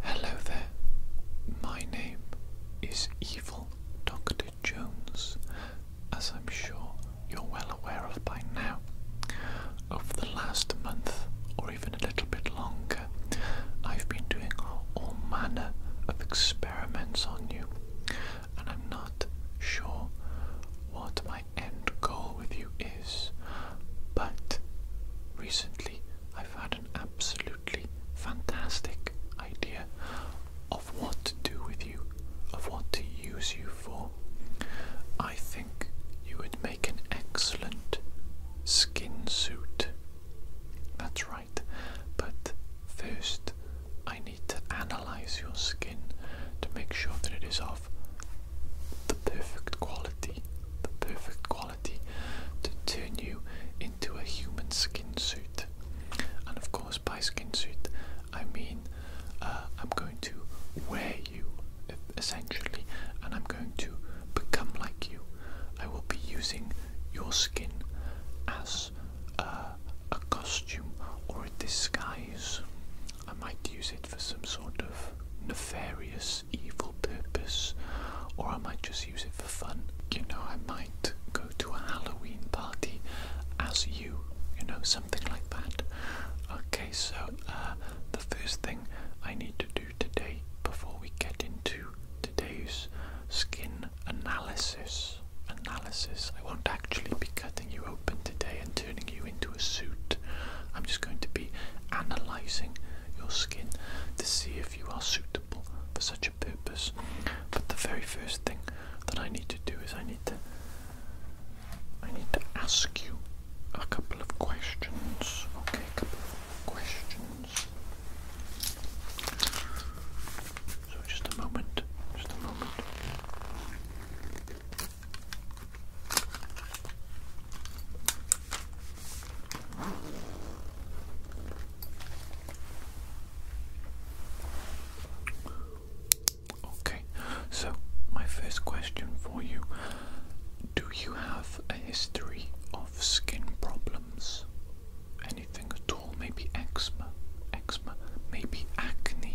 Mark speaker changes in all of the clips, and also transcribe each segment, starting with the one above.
Speaker 1: Hello there. My name is Evil Dr. Jones, as I'm sure you're well aware of by now. Over the last month, or even a little bit longer, I've been doing all manner of experiments on you, and I'm not sure what my end goal with you is, but recently I've had an absolutely fantastic idea of what to do with you, of what to use you for. I think you would make an excellent skin suit. That's right, but first I need to analyze your skin to make sure that it is of the perfect quality, the perfect quality to turn you into a human skin suit. And of course, by skin suit, I mean uh, I'm going to wear you essentially, and I'm going to become like you. I will be using your skin as uh, a costume or a disguise. I might use it for some sort of nefarious evil purpose, or I might just use it for fun. You know, I might go to a Halloween party as you, you know, something like that. Okay, so uh, the first thing I need to do today before we get into today's skin analysis. Analysis. I won't actually be cutting you open today and turning you into a suit. I'm just going to be analysing your skin to see if you are suitable for such a purpose. But the very first thing that I need to do is I need to I need to ask you a couple of questions. Okay, a couple of questions. So just a moment. Just a moment. Okay, so my first question for you Do you have a history of skin problems? Anything at all? Maybe eczema? Eczema? Maybe acne?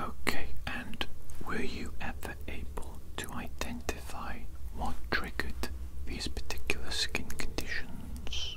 Speaker 1: Okay, and were you ever able to identify what triggered these particular skin conditions?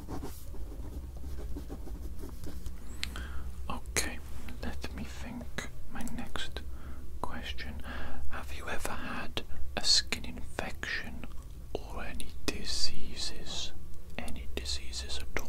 Speaker 1: Okay, let me think. My next question Have you ever had a skin infection or any diseases? Any diseases at all?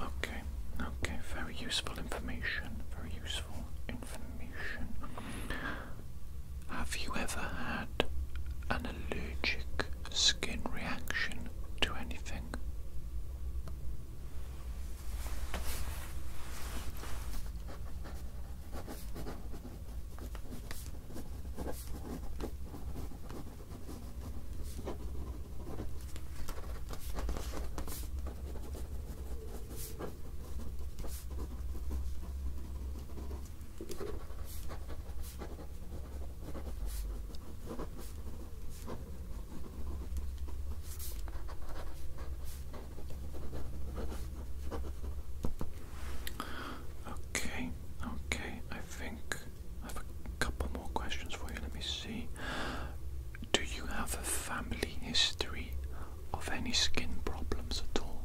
Speaker 1: Okay, okay, very useful information, very useful information. Have you ever had an allergic skin reaction to anything? Okay, okay, I think I have a couple more questions for you. Let me see. Do you have a family history of any skin problems at all?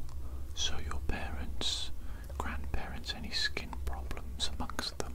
Speaker 1: So, your parents, grandparents, any skin problems amongst them?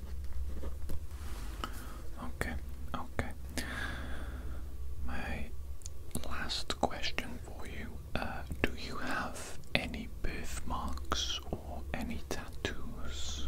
Speaker 1: Okay, okay. My last question for you uh, Do you have any birthmarks or any tattoos?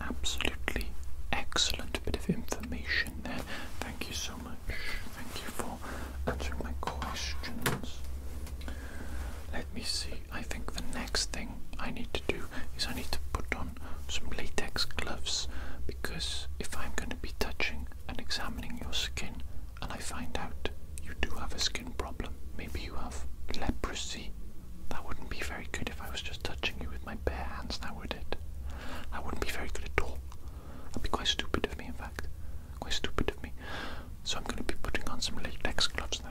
Speaker 1: absolutely excellent bit of information there. Thank you so much. Thank you for answering my questions. Let me see. I think the next thing I need to do is I need to put on some latex gloves because if I'm going to be touching and examining your skin and I find out you do have a skin problem, maybe you have leprosy. That wouldn't be very good if I was just touching you with my bare hands. That would it? I wouldn't be very good at all. i would be quite stupid of me, in fact. Quite stupid of me. So I'm going to be putting on some latex gloves now.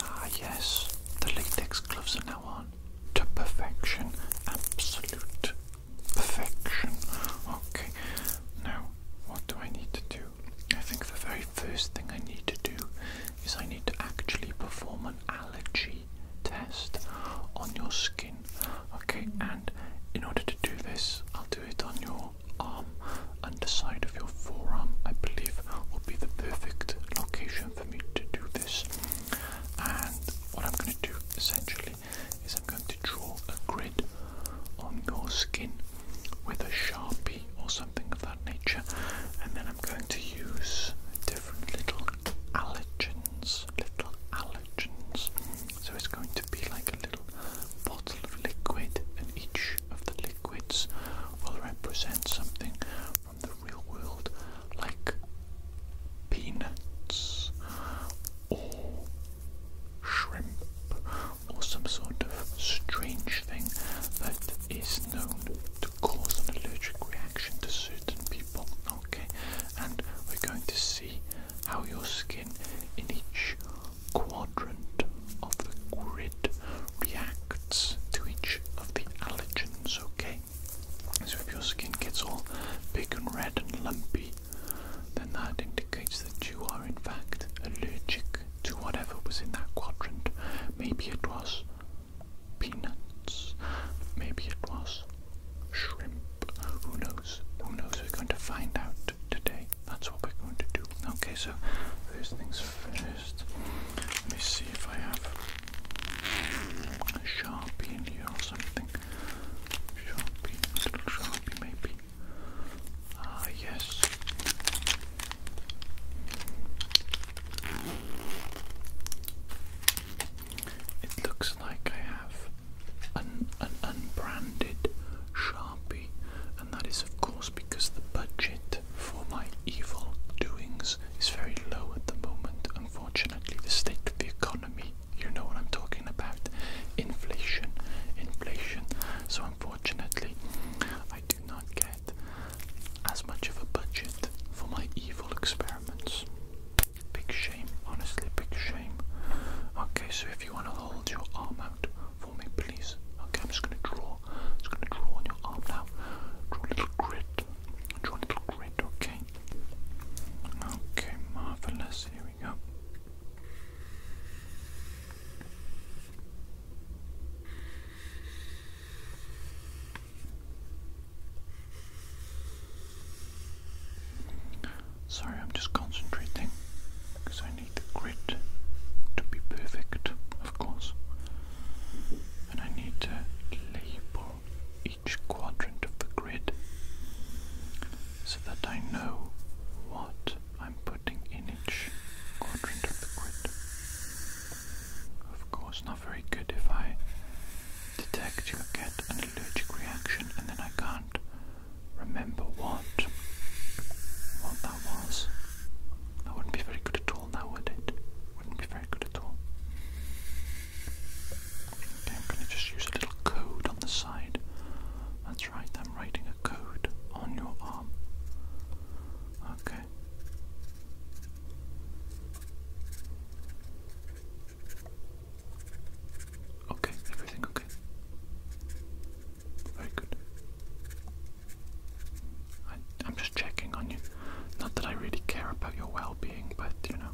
Speaker 1: Ah, yes, the latex gloves are now on to perfection, absolute perfection. Okay, now what do I need to do? I think the very first thing I need to do is I need to actually perform an allergy test on your skin. Okay, and in order to do this, I'll do it on your arm, underside of your forearm, I believe will be the perfect location for me to do this. And what I'm going to do essentially is I'm going to draw a grid on your skin with a sharpie or something of nature. And then I'm going to use different little allergens, little allergens. So it's going to be like a little bottle of liquid, and each of the liquids will represent something from the real world, like peanuts or shrimp or some sort of strange thing that is known to cause an allergic reaction to certain people. Okay, and we're going to see how your skin in each quadrant of the grid reacts to each of the allergens. Okay, so if your skin gets all big and red and lumpy, then that indicates that you are in fact allergic to whatever was in that quadrant. Maybe it was peanuts, maybe it was shrimp. Who knows? Who knows? We're going to find out today. That's what we're going to do. Okay, so first things first. Let me see if I have a sharpie in here or something. Sharpie, little sharpie maybe. Ah, yes. It looks like I have an, an unbranded Sharpie, and that is, of course, because the budget for my evil doings is very low at the moment. Unfortunately, the state of the economy, you know what I'm talking about inflation, inflation. So, unfortunately, I do not get as much of a budget for my evil experiments. Big shame, honestly, big shame. Okay, so if you want to hold your arm out for me, please. Okay, I'm just gonna draw. Just gonna draw on your arm now. Draw a little grid. Draw a little grid, okay? Okay, marvelous. Here we go. Sorry, I'm just concentrating because I need the grid to be perfect, of course, and I need to label each quadrant of the grid so that I know what I'm putting in each quadrant of the grid. Of course, not very good if I detect you get an allergic reaction and then I can't remember what what that was. That wouldn't be very good at all now, would it? Wouldn't be very good at all. I'm gonna just use a little code on the side. That's right, I'm writing a code on your arm. A Okay. Okay, everything okay. Very good. I, am just checking on you. Not that I really care about your well being, but you know,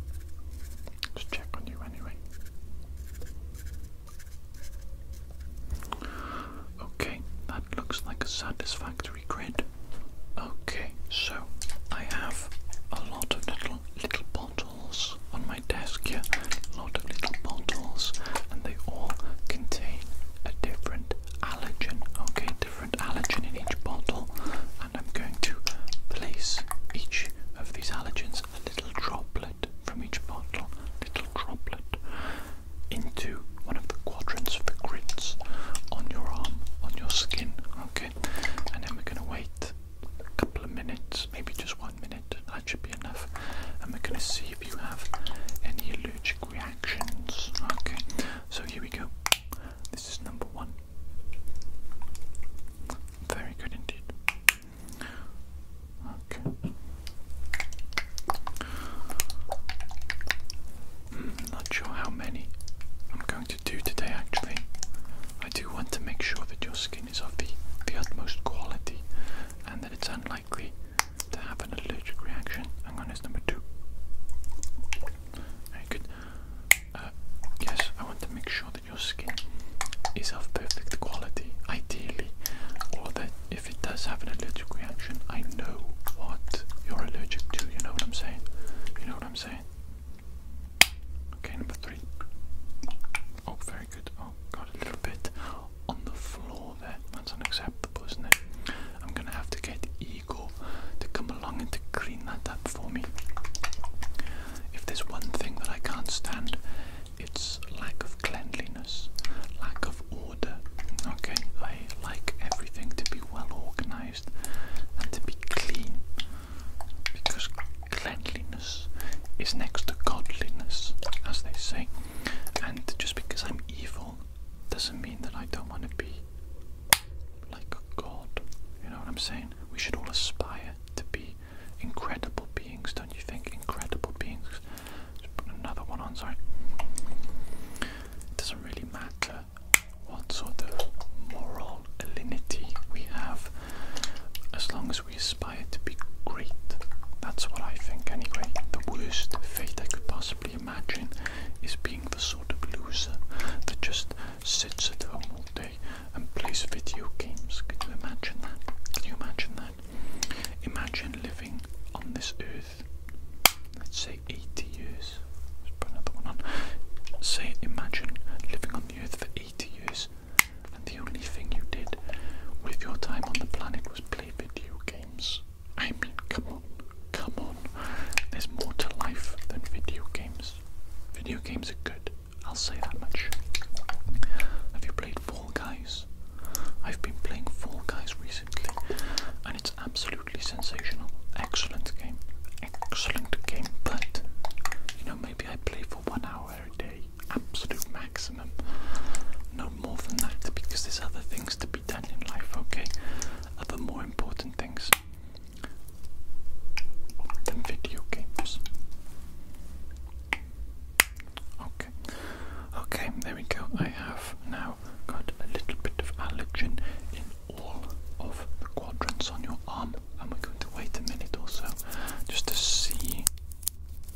Speaker 1: just check on you anyway. Okay, that looks like a satisfactory grid. Okay, so I have a lot of little little bottles on my desk here. A lot of little bottles, and they all contain a different allergen. Okay, different allergen in each bottle, and I'm going to place each of these allergens a little droplet from each bottle, little droplet, into one of the quadrants of the grids on your arm, on your skin, okay? And then we're gonna wait a couple of minutes, maybe just one minute, that should be enough. And we're gonna see if you have any allergic reactions, okay? So here we go. This is number one. Very good indeed. Okay. Hmm, not sure how many I'm going to do today, actually. I do want to make sure that your skin is of the, the utmost quality and that it's unlikely to have an allergic reaction. Hang on, it's number two. Very good. Uh, yes, I want to make sure that your skin is of perfect quality, ideally, or that if it does have an allergic reaction, I know what you're allergic to. You know what I'm saying? You know what I'm saying? Okay, number three. Oh, very good. Oh, got a little bit on the floor there. That's unacceptable, isn't I'm gonna have to get Igor to come along and to clean that up for me. If there's one thing that I can't stand, it's lack of cleanliness, lack of order. Okay, I like everything to be well organized and to be clean because cleanliness is next to godliness, as they say. And just because I'm evil doesn't mean that I don't want to be like god. You know what I'm saying? We should all aspire to be incredible beings, don't you think? Incredible beings just put another one on, sorry. It doesn't really matter what sort of moral alinity we have as long as we aspire to be great. That's what I think, anyway. The worst fate I could possibly imagine is being the sort of loser that just sits at home all day and plays video games. Can you imagine that? Can you imagine that? Imagine living on this earth let's say, 80 years. Let's put another one on. Say, imagine living on the earth for 80 years, and the only thing you did with your time on the planet was play video games. I mean, come on, come on. There's more to life than video games. Video games are good, I'll say that much. Have you played Fall Guys. I've been playing Fall Guys recently and it's absolutely sensational. Excellent game. Excellent game, but you know, maybe I play for one hour a day, absolute maximum. No more than that because there's other things to be done in life, okay? Other more important things than video games. Okay, okay, there we go. I have now got a little bit of allergen in all of the quadrants on your arm, and we're going to wait a minute or just to see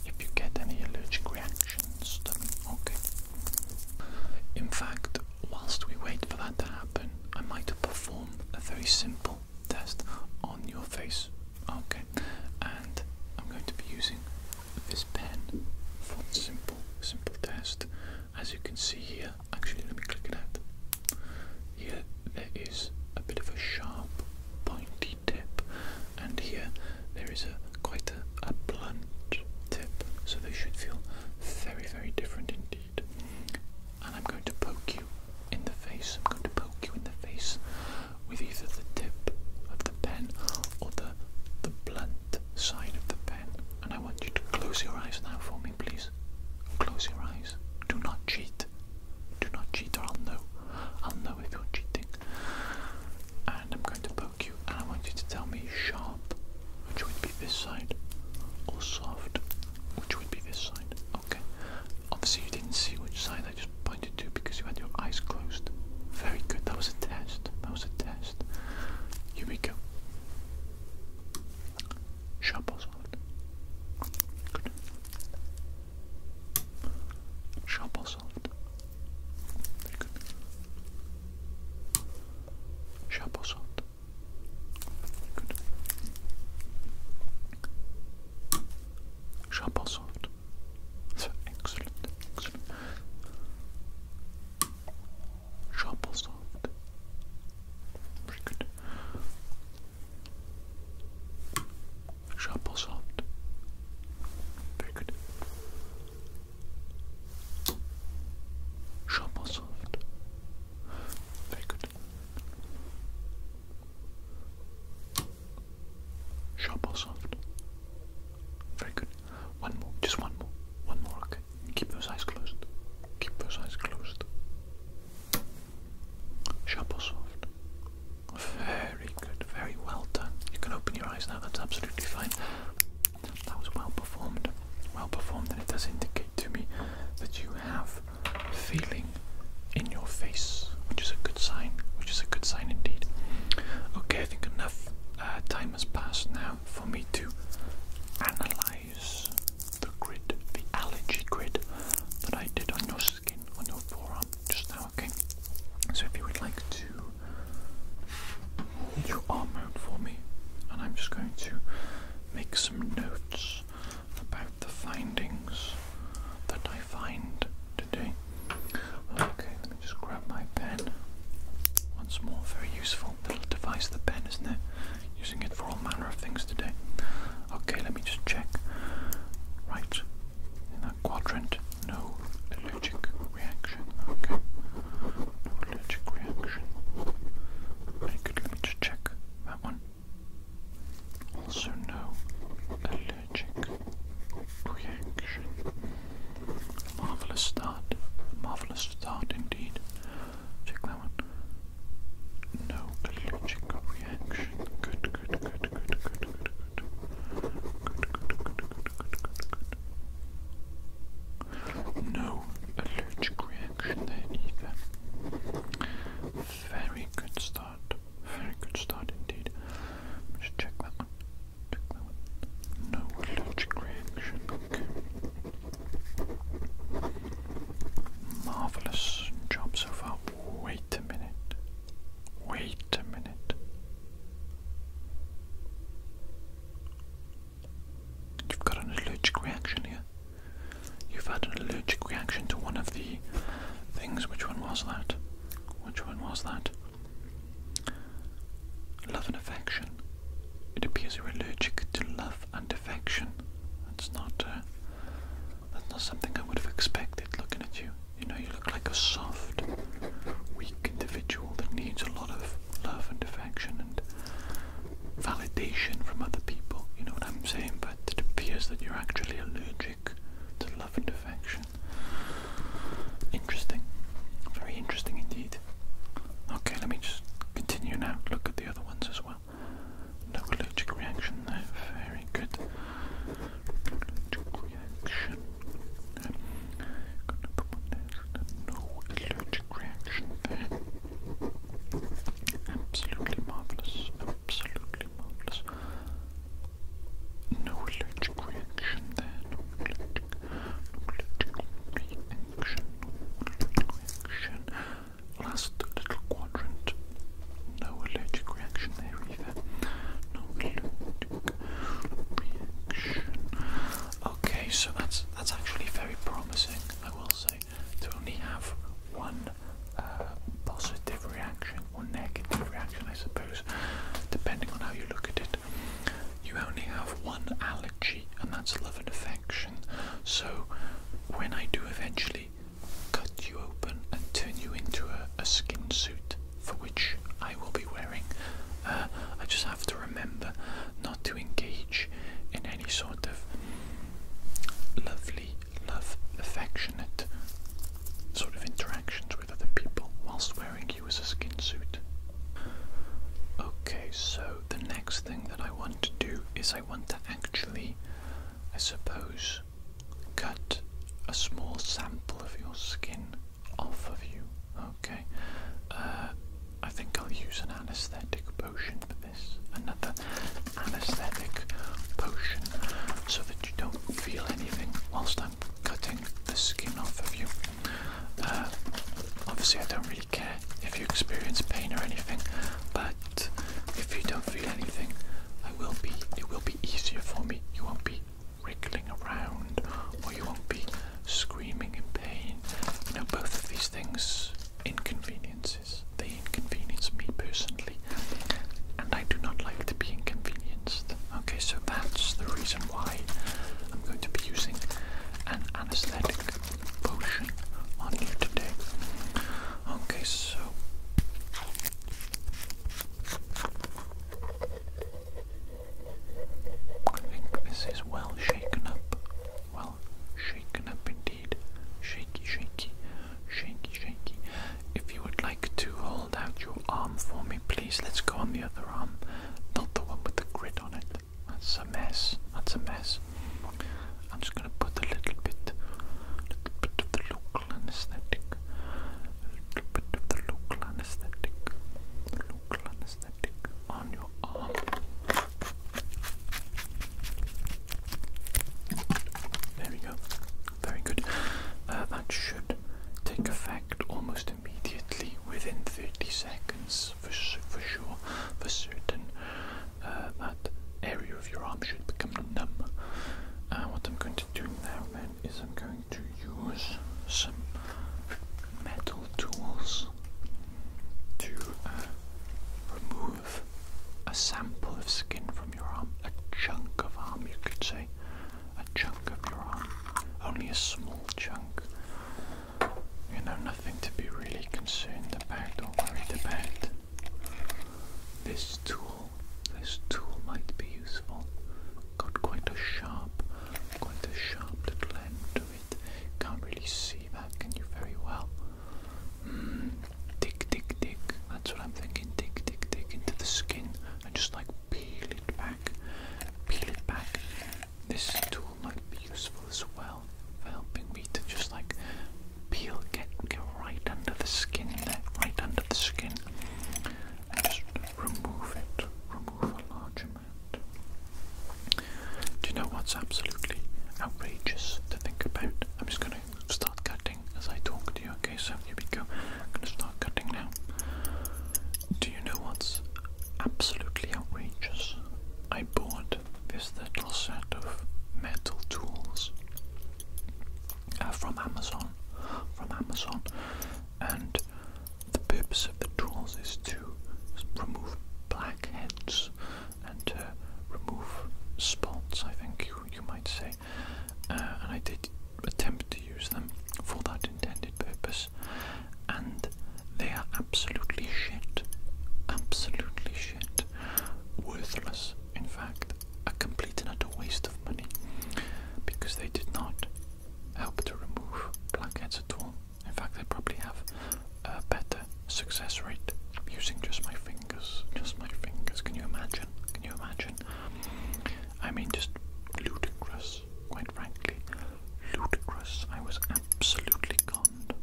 Speaker 1: if you get any allergic reactions Okay. In fact, whilst we wait for that to happen, I might perform a very simple test on your face. Okay, and I'm going to be using this pen for simple, simple test. As you can see here, actually let me click it out. Here there is a bit of a sharp pointy tip and here there is a quite a, a blunt tip. So they should feel very, very different indeed. And I'm going to poke you in the face. I'm going to poke you in the face with either the tip of the pen or the the blunt side of the pen, and I want you to close your eyes now for me, please. Close your eyes. Do not cheat. Do not cheat, or I'll know. I'll know if you're cheating. And I'm going to poke you, and I want you to tell me sharp, which would be this side, or soft, which would be this side. Okay. Obviously, you didn't see which side I just pointed because you had your eyes closed. Very good. That was a test. That was a test. Here we go. Shuffle soft. Good. Shuffle soft. Very good. Shuffle soft. Good. Shuffle soft. So excellent, excellent. soft. Very good. Shuffle soft. Very good. Shuffle soft. Very good. Shuffle soft. Very good. One more. Just one more. One more, okay? Keep those eyes closed. Keep those eyes closed. Sharp or soft? Very good. Very well done. You can open your eyes now. That's absolutely fine. That was well performed. Well performed, and it does indicate to me that you have feeling in your face, which is a good sign. Which is a good sign indeed. Okay, I think enough uh, time has passed now for me to analyze the grid, the allergy grid that I did on your skin, on your forearm just now, okay? So if you would like to hold your arm out for me, and I'm just going to make some notes about the findings that I find today. Okay, let me just grab my pen. Once more, very useful little device, the pen, isn't it? Using it for all manner of things today. Okay, let me just check. Right, in that quadrant, no allergic reaction. Okay, no allergic reaction. Very good, let me just check that one. Also, no allergic reaction. marvelous start. marvelous start indeed. Check that one. No allergic reaction. good, good, good, good, good, good, good. Good, good, good, good, good, good, good. No allergic reaction there either. Very good start. Very good start indeed. Just check that one. No allergic reaction. Marvelous job so far. Wait a minute. Wait a minute. You've got an allergic reaction here. You've had an allergic reaction to one of the things. Which one was that? Which one was that? Love and affection. It appears you're allergic to love and affection. That's not uh, that's not something I would have expected looking at you. You know, you look like a soft, weak individual that needs a lot of love and affection and validation from other people. You know what I'm saying? But it appears that you're actually allergic to love and affection. Interesting. Very interesting indeed. Okay, let me just continue now. Look at the other ones as well. No allergic reaction there. Very good. No allergic reaction Absolutely marvellous. Absolutely marvellous. No allergic reaction there. No allergic, no reaction. No allergic reaction. Last little quadrant. No allergic reaction there either. No allergic reaction. Okay, so that's that's actually very promising, I will say, to only have one uh, positive reaction or negative reaction, I suppose, depending on how you look at it. You only have one allergy, and that's love and affection. So, when I do eventually cut you open and turn you into a, skin suit, for which I will be wearing, uh, I just have to remember not to engage in any sort of lovely, love, affectionate sort of interactions other people whilst wearing you as a skin suit. Okay, so the next thing that I want to do is I want to actually, I suppose, cut a small sample of your skin off of you. Okay, uh, I think I'll use an anesthetic potion for this, another anesthetic potion, so that you don't feel anything whilst I'm cutting the skin off of you. Uh, obviously, I don't really care if you experience pain or anything, but if you don't feel anything, It will be easier for me. You won't be wriggling around, or you won't be screaming in pain. You know, both of these things inconveniences. They inconvenience me personally, and I do not like to be inconvenienced. Okay, so that's the reason why I'm going to be using an anesthetic potion on you today. Okay, so. this is well shaken up. Well shaken up indeed. Shaky, shaky, shaky, shaky. If you would like to hold out your arm for me, please? Let's go on the other arm. Not the one with the grid on it. That's a mess. That's a mess. I'm just gonna put a little bit, little bit of the local anesthetic. A little bit of the local anesthetic. Local anesthetic on your arm. There we go. Very good. Uh, that should take effect almost immediately within 30 seconds for, sure, for certain. Uh, that area of your arm should become numb. Uh, what I'm going to do now then is I'm going to use some metal tools to uh, remove a sample of skin from your arm, a chunk of arm you could say a chunk of your arm, only a small chunk. You know, nothing to be really concerned about or worried about. This tool, this tool might be useful. Got quite a sharp, quite a sharp little end to it. Can't really see that, can you? Very well. Mm. Dig, dig, dig. That's what I'm thinking. Dig, dig, dig into the skin and just like peel it back, peel it back. This tool might be useful as well for helping me to just like peel, get, get right under the skin there, right under the skin, and just remove it, remove a large Do you know what's absolutely outrageous to think about? I'm just going to start cutting as I talk to you. Okay, so here we go. i gonna start cutting now. Do you know what's absolutely outrageous? I bought this little set of metal tools uh, from Amazon. From Amazon, and the purpose of the tools is to remove blackheads and to remove spots. I think you you might say. Uh, and I did attempt to use them for that intended purpose, and they are absolutely shit. Absolutely shit. Worthless, in fact, a complete and utter waste of money because they did not help to remove blackheads at all. In fact, they probably have a better success rate using just my fingers. Just my fingers. Can you imagine? Can you imagine? I mean, just ludicrous, quite frankly. Ludicrous. I was absolutely conned.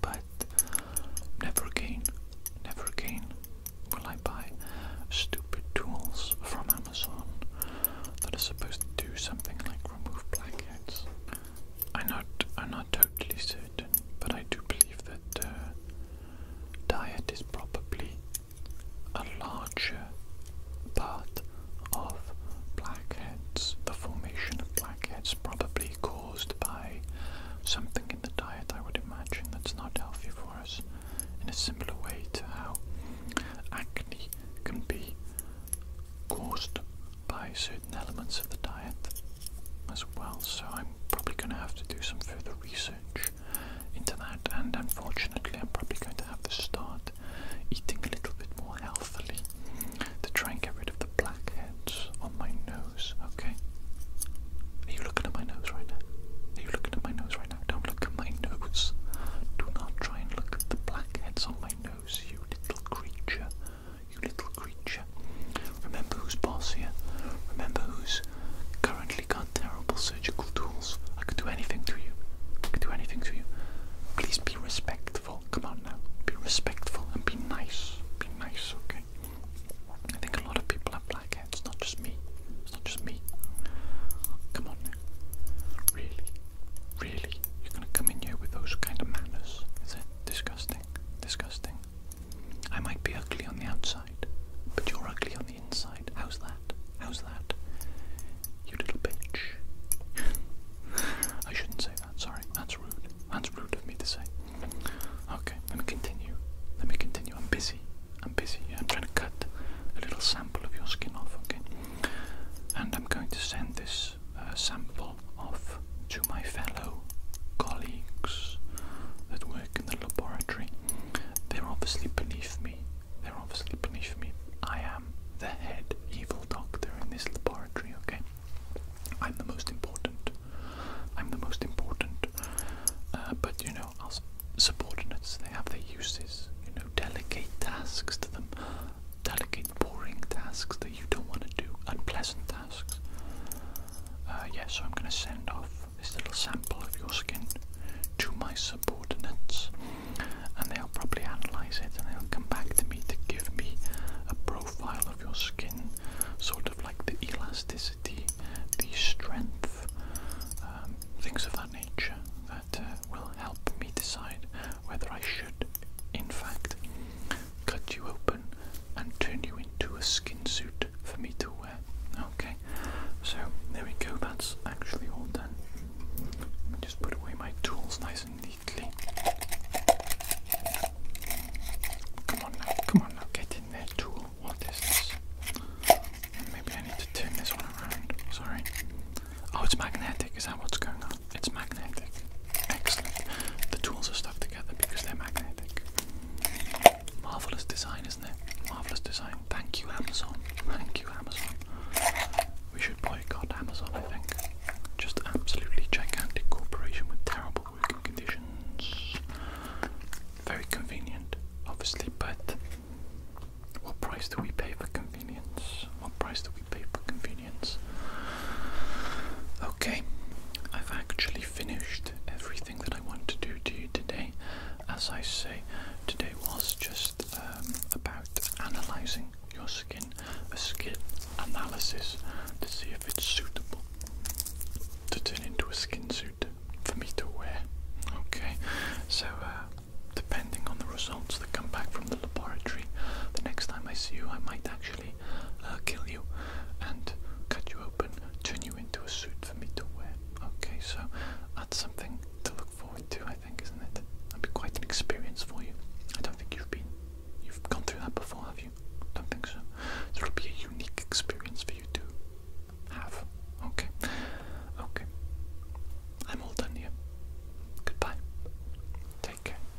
Speaker 1: But never again, never again will I buy stupid tools from Amazon that are supposed to do something like remove blackheads. I'm not, I'm not totally certain, but I do believe that uh, diet is probably a larger part of blackheads, the formation of blackheads, probably caused by something in the diet, I would imagine, that's not healthy for us, in a similar way to how acne can be caused by certain elements of the diet as well. So, I'm probably going to have to do some further research push and unfortunately, I'm probably going to have to start eating a little bit more healthily to try and get rid of the blackheads on my nose. Okay? Are you looking at my nose right now? Are you looking at my nose right now? Don't look at my nose. Do not try and look at the blackheads on my nose, you little creature. You little creature. Remember who's boss here. Remember who's currently got terrible surgical tools. I could do anything to you. I could do anything to you. Please be respectful. Come on now. Be respectful and be nice. Be nice, okay? I think a lot of people have black It's not just me. It's not just me. Come on now. Really? Really? You're gonna come in here with those kind of manners? Is it disgusting? Disgusting. I might be ugly on the outside, but you're ugly on the inside. How's that? How's that? You little bitch. I shouldn't say that, sorry. That's rude. That's rude of me to say. Okay, let me continue. Let me continue. I'm busy. I'm busy. I'm trying to cut a little sample of your skin off, okay? And I'm going to send this uh, sample off to my fellow colleagues that work in the laboratory. They're obviously beneath me they're obviously punished me. I am the head evil doctor in this laboratory, okay? I'm the most important. I'm the most important. Uh, but you know, our subordinates, they have their uses. You know, delegate tasks to them. Delegate boring tasks that you don't want to do. Unpleasant tasks. Uh, yeah, so I'm going to send off this little sample of your skin to my subordinates, and they'll probably analyze it and they'll come back to me to give me a profile of your skin, sort of like the elasticity, the strength, um, things of that nature that uh, will help me decide whether I should, in fact, cut you open and turn you into a skin suit for me to wear. Okay, so there we go, that's actually all done. just put away my tools nice and neatly. Come on now, come on now, get in there, tool. What is this? Maybe I need to turn this one around. Sorry. Oh, it's magnetic. Is that what's going on? It's magnetic. Excellent. The tools are stuck together because they're magnetic. Marvelous design, isn't it? Marvelous design. Thank you, Amazon. Thank you, Amazon. We should boycott Amazon, I think. Just absolutely gigantic corporation with terrible working conditions. Very convenient, obviously, but what price do we pay for convenience? What price do we pay for convenience? Okay, I've actually finished everything that I want to do to you today as I say, today was just um, about analysing your skin, a skin analysis to see if it's suitable to turn into a skin suit for me to wear. Okay, so uh, depending on the results that come back from the laboratory, the next time I see you, I might actually uh, kill you and cut you open, turn you into a suit for me to wear. Okay, so that's something to look forward to, I think, isn't it? That'd be quite an experience for you. I don't think you've been, you've gone through that before, have you? Don't think so. So it'll be a unique experience for you too. have. Okay, okay. I'm all done here. Goodbye. Take care.